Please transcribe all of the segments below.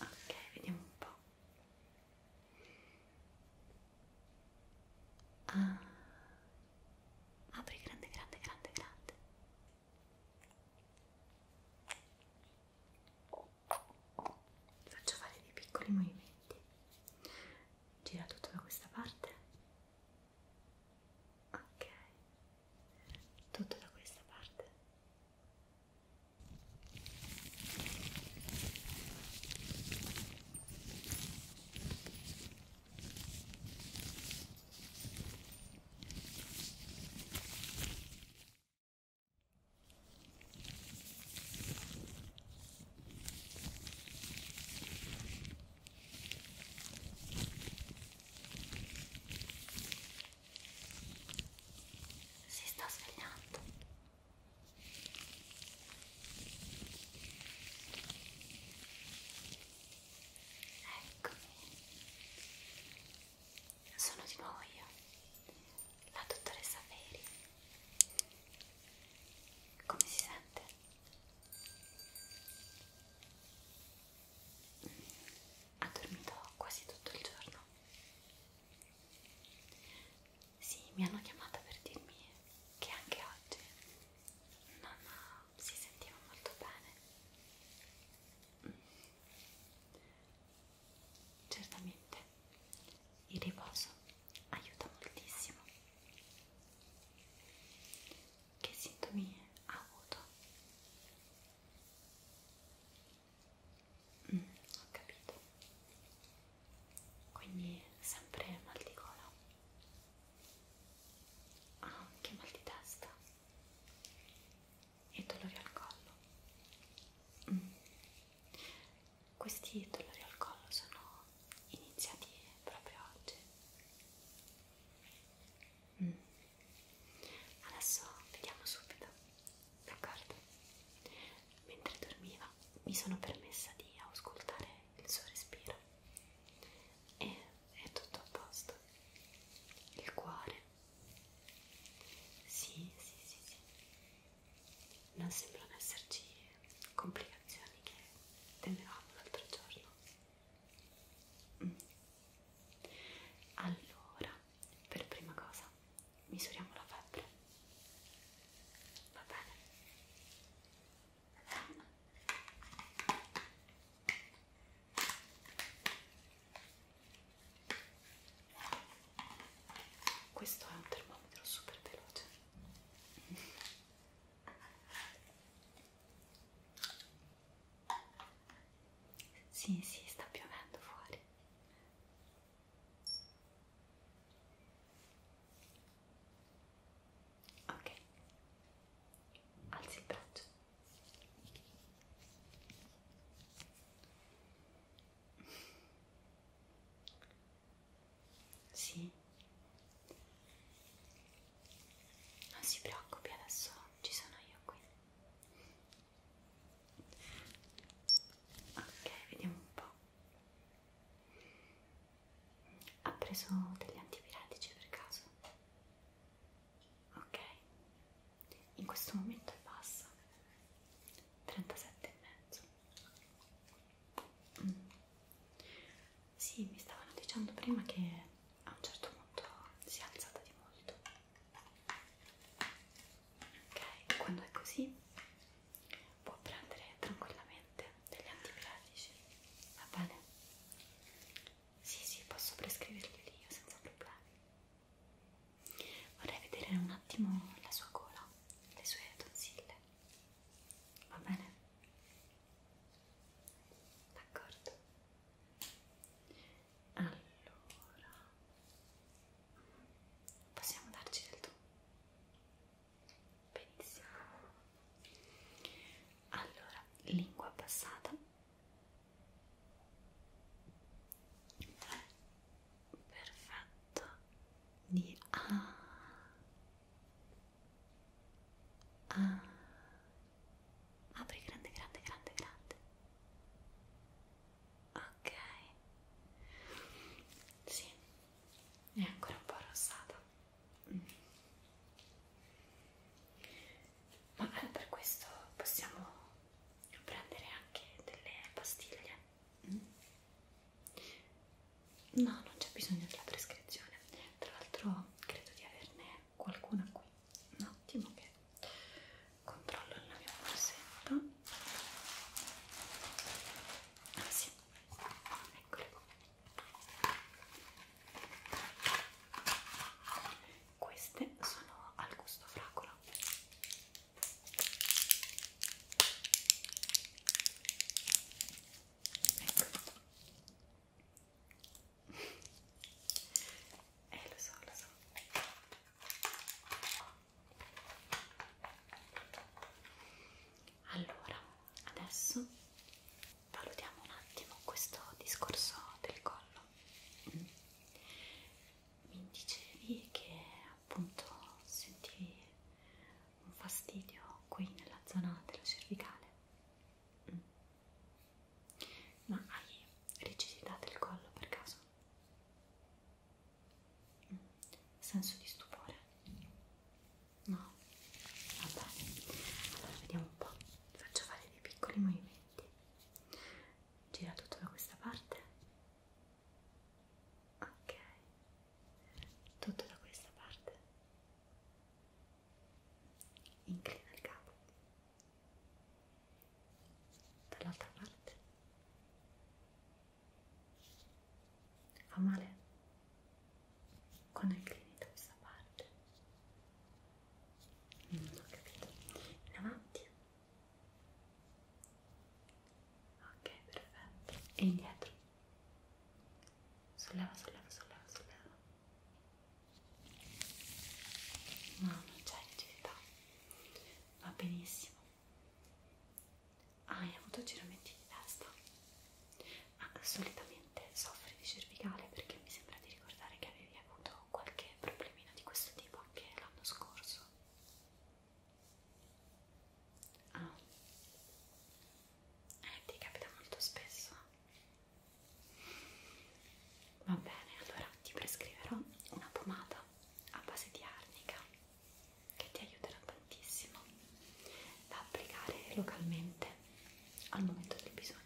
Ok, vediamo un po'. Ah. Apri grande, grande, grande, grande. Ti faccio fare dei piccoli movimenti gira tutto da questa parte ok tutto da questa parte si sta svegliando. Eccomi. Sono di nuovo io la dottoressa Feri. Come si sente? Ha dormito quasi tutto il giorno. Sì, mi hanno chiamata per dirmi che anche oggi non eh, si sentiva molto bene. Certamente il riposo aiuta moltissimo. Che sintomi ha avuto? Mm, ho capito. Quindi sempre mal di gola. Ah, anche mal di testa. E dolori al collo. Mm. Questi dolori al collo sono iniziati proprio oggi. Mm. Adesso vediamo subito, d'accordo? Mentre dormiva mi sono permessa di auscultare il suo respiro e è tutto a posto. Il cuore. Sì, sì, sì, sì non sembrano esserci complicazioni che temevamo l'altro giorno mm. allora per prima cosa misuriamo la febbre va bene questo è un termometro super veloce sì sì sta piovendo fuori ok alzi il braccio sì. Non si preoccupi, adesso ci sono io qui. Ok, vediamo un po'. Ha preso degli antipiratici per caso? Ok, in questo momento è bassa. 37 e mezzo mm. sì mi stavano dicendo prima che a un certo punto si è alzata di molto ok quando è così può prendere tranquillamente degli antipiratici va bene? sì sì posso prescriverglieli io senza problemi Vorrei vedere un attimo la sua gola, le sue tonsille. Va bene? D'accordo. Allora, possiamo darci del tu? Benissimo. Allora, lingua passata. 3, 2, 1 perfetto di A A apri grande grande grande grande ok sì è ancora un po' rossata mm. ma eh, per questo possiamo prendere anche delle pastiglie? Mm. No, non c'è bisogno della prescrizione. Tra l'altro credo di averne qualcuna qui. Un attimo che controllo la mia borsetta. Ah sì, eccole Queste sono al gusto fragola. Ecco. eh lo so, lo so allora adesso valutiamo un attimo questo discorso del collo mm mi dicevi che appunto sentivi un fastidio qui nella zona della cervicale mm. ma hai rigidità del collo per caso? Mm. senso di stupore? no? va bene allora vediamo un po' ti faccio fare dei piccoli movimenti gira tutto da questa parte ok tutto da questa parte inclina il capo dall'altra parte fa male quando inclini da questa parte non ho capito in avanti ok perfetto e indietro solleva solleva solleva solleva no non c'è rigidità va benissimo hai ah, avuto giramenti di testa ma ah, solitamente soffri di cervicale perché mi sembra di ricordare che avevi avuto qualche problemino di questo tipo anche l'anno scorso. Ah, eh, ti capita molto spesso. Va bene, allora ti prescriverò una pomata a base di arnica che ti aiuterà tantissimo da applicare localmente al momento del bisogno.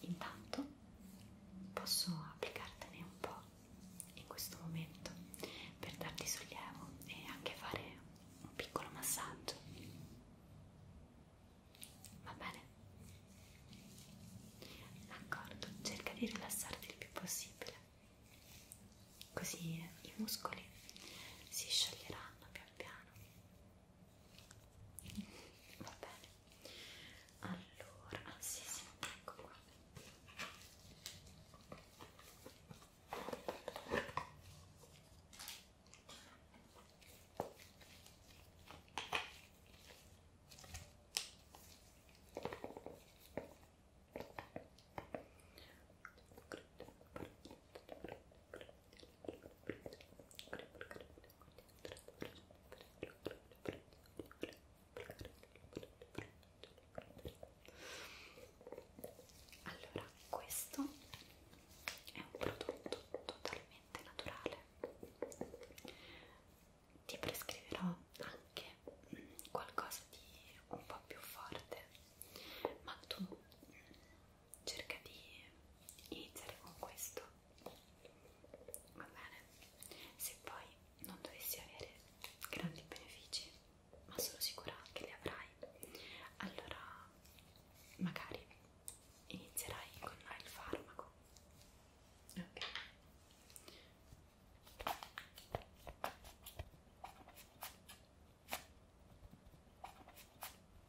Intanto posso applicartene un po' in questo momento per darti sollievo e anche fare un piccolo massaggio. Va bene? D'accordo, cerca di rilassarti il più possibile, così i muscoli si scioglieranno pian piano va bene allora ah, sì sì ecco qua Ecco allora, questo è un prodotto totalmente naturale. Ti prescriverò anche mm, qualcosa di un po' più forte, ma tu mm, cerca di iniziare con questo va bene se poi non dovessi avere grandi benefici ma sono sicura che li avrai allora magari inizierai con il farmaco ok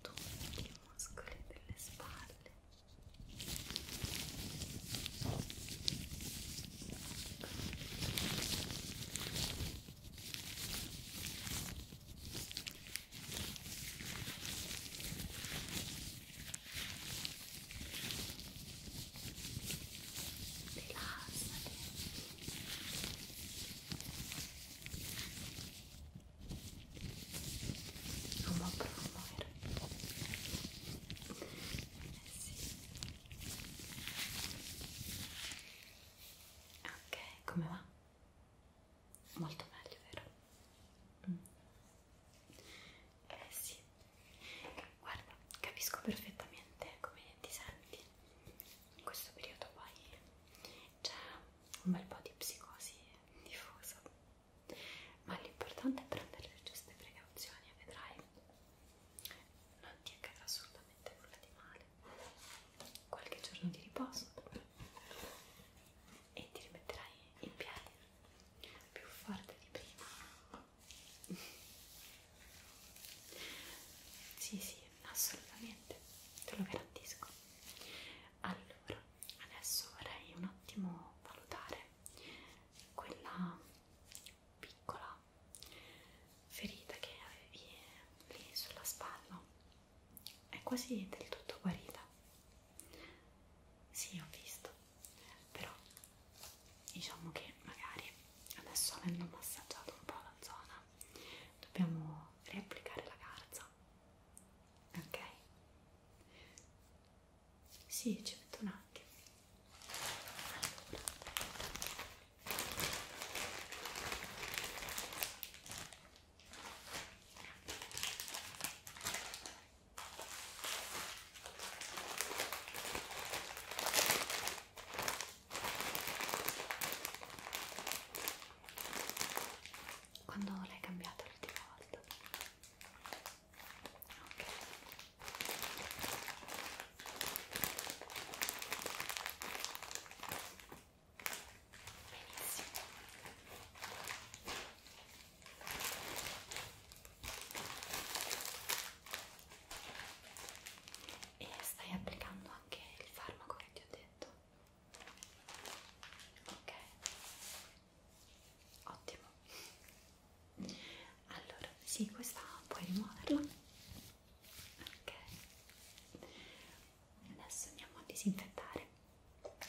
tutti i muscoli delle spalle rilassati non vogliono muovere eh sì ok, come va? molto meglio, vero? Mm. eh sì guarda, capisco perfettamente come ti senti in questo periodo poi c'è cioè, un bel po' di psicosi diffuso, ma l'importante è prendere le giuste precauzioni e vedrai non ti accadrà assolutamente nulla di male. Qualche giorno di riposo e ti rimetterai in piedi più forte di prima. Sì, sì, assolutamente, te lo garantisco. Allora, adesso vorrei un attimo valutare quella piccola ferita che avevi lì sulla spalla. È quasi del tutto guarita. Sì, ho visto, però diciamo che magari adesso avendo massaggiato un po' la zona dobbiamo riapplicare la garza ok sì ci metto un attimo allora. Quando l'hai cambiata l'ultima volta? Ok. Benissimo e stai applicando anche il farmaco che ti ho detto ok ottimo allora sì questa puoi rimuoverla ok adesso andiamo a disinfettare ok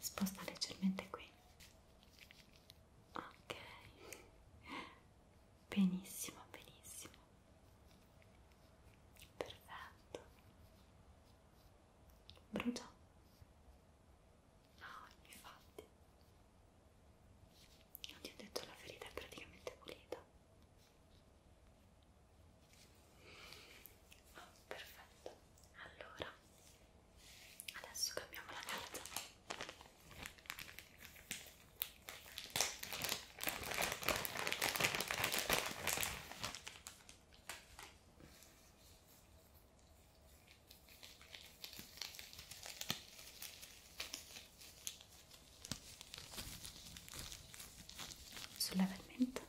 sposta leggermente qui ok benissimo benissimo perfetto brucia no ah, infatti non ti ho detto la ferita è praticamente pulita Oh, perfetto. Allora, adesso cambiamo la carta. Solleva il mento.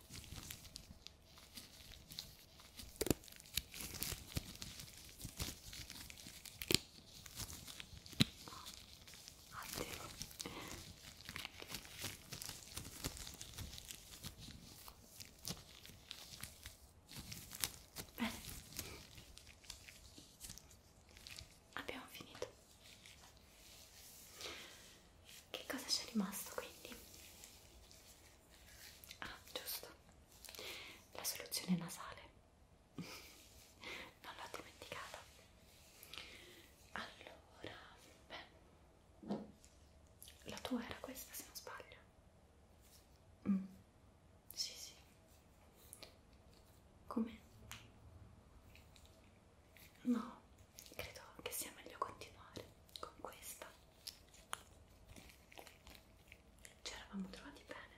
Ottimo. Bene abbiamo finito che cosa c'è rimasto quindi? ah giusto la soluzione nasale non l'ho dimenticata allora beh la tua era questa se non sbaglio mm. sì sì come? No, credo che sia meglio continuare con questa. Ci eravamo trovati bene.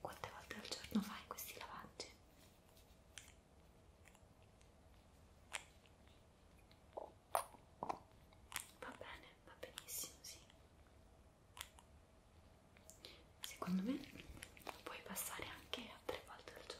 Quante volte al giorno fai questi lavaggi? Va bene va benissimo, sì. Secondo me puoi passare anche a tre volte al giorno.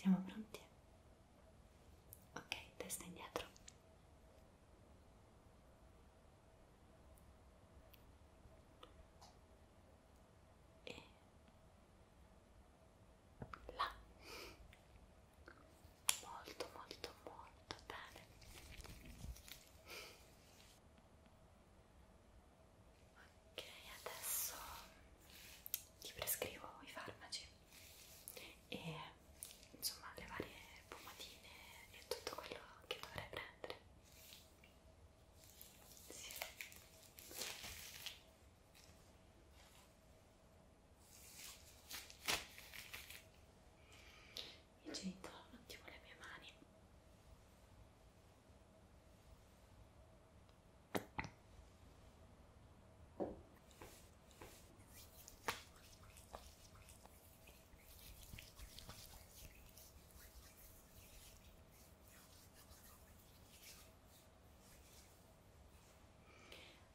Siamo pronti? Ok, testa indietro e là molto molto molto bene ok adesso ti prescrivo i farmaci e insomma le varie pomatine e tutto quello che dovrei prendere sì. Mi gento un attimo le mie mani.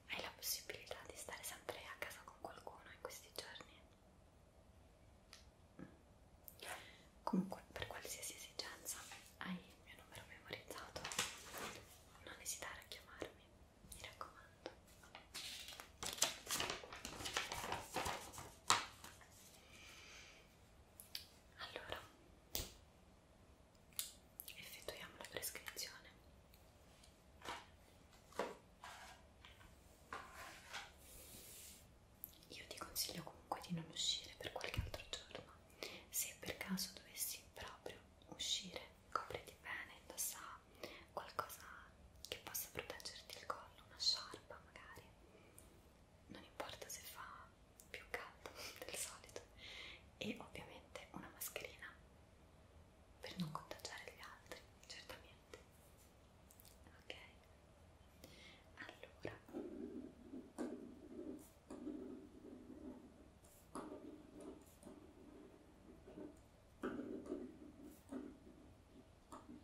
Hai la possibilità di stare sempre a casa con qualcuno in questi giorni? Comunque, per qualsiasi esigenza, hai il mio numero memorizzato. Non esitare a chiamarmi, mi raccomando. Allora, effettuiamo la prescrizione. Io ti consiglio comunque di non uscire per qualche altro giorno. Se per caso dovessi proprio uscire, copriti bene, indossa qualcosa che possa proteggerti il collo, una sciarpa magari, non importa se fa più caldo del solito, e ovviamente una mascherina per non contagiare gli altri, certamente. Ok, allora ok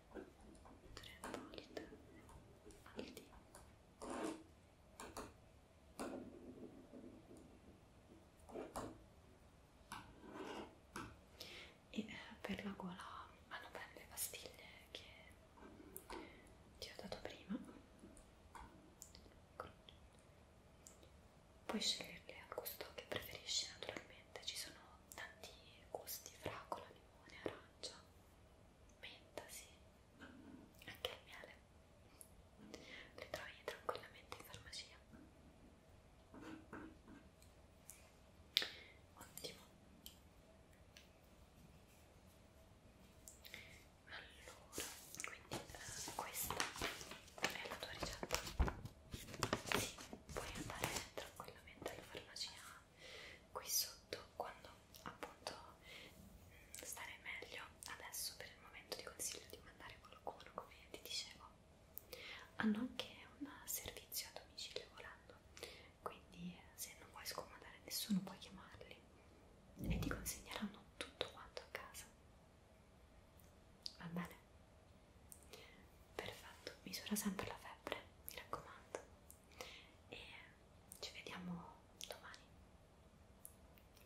tre volte il dito e eh, per la gola vanno bene le pastiglie che ti ho dato prima ecco. puoi sceglierle al gusto che preferisci naturalmente ci sono tanti gusti, fragola, limone, arancia, menta, sì, anche il miele. Li trovi tranquillamente in farmacia. Ottimo. Allora, quindi eh, questa è la tua ricetta puoi andare tranquillamente alla farmacia qui sotto quando appunto mm, stare meglio adesso per il momento ti consiglio di mandare qualcuno come ti dicevo hanno anche un servizio a domicilio volando quindi eh, se non vuoi scomodare nessuno puoi chiamarli e ti consegneranno tutto quanto a casa va bene perfetto, misura sempre la febbre, mi raccomando e ci vediamo domani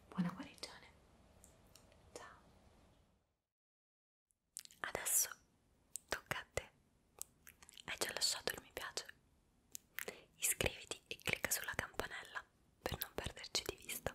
buona guarigione ciao adesso tocca a te hai già lasciato il mi piace iscriviti e clicca sulla campanella per non perderci di vista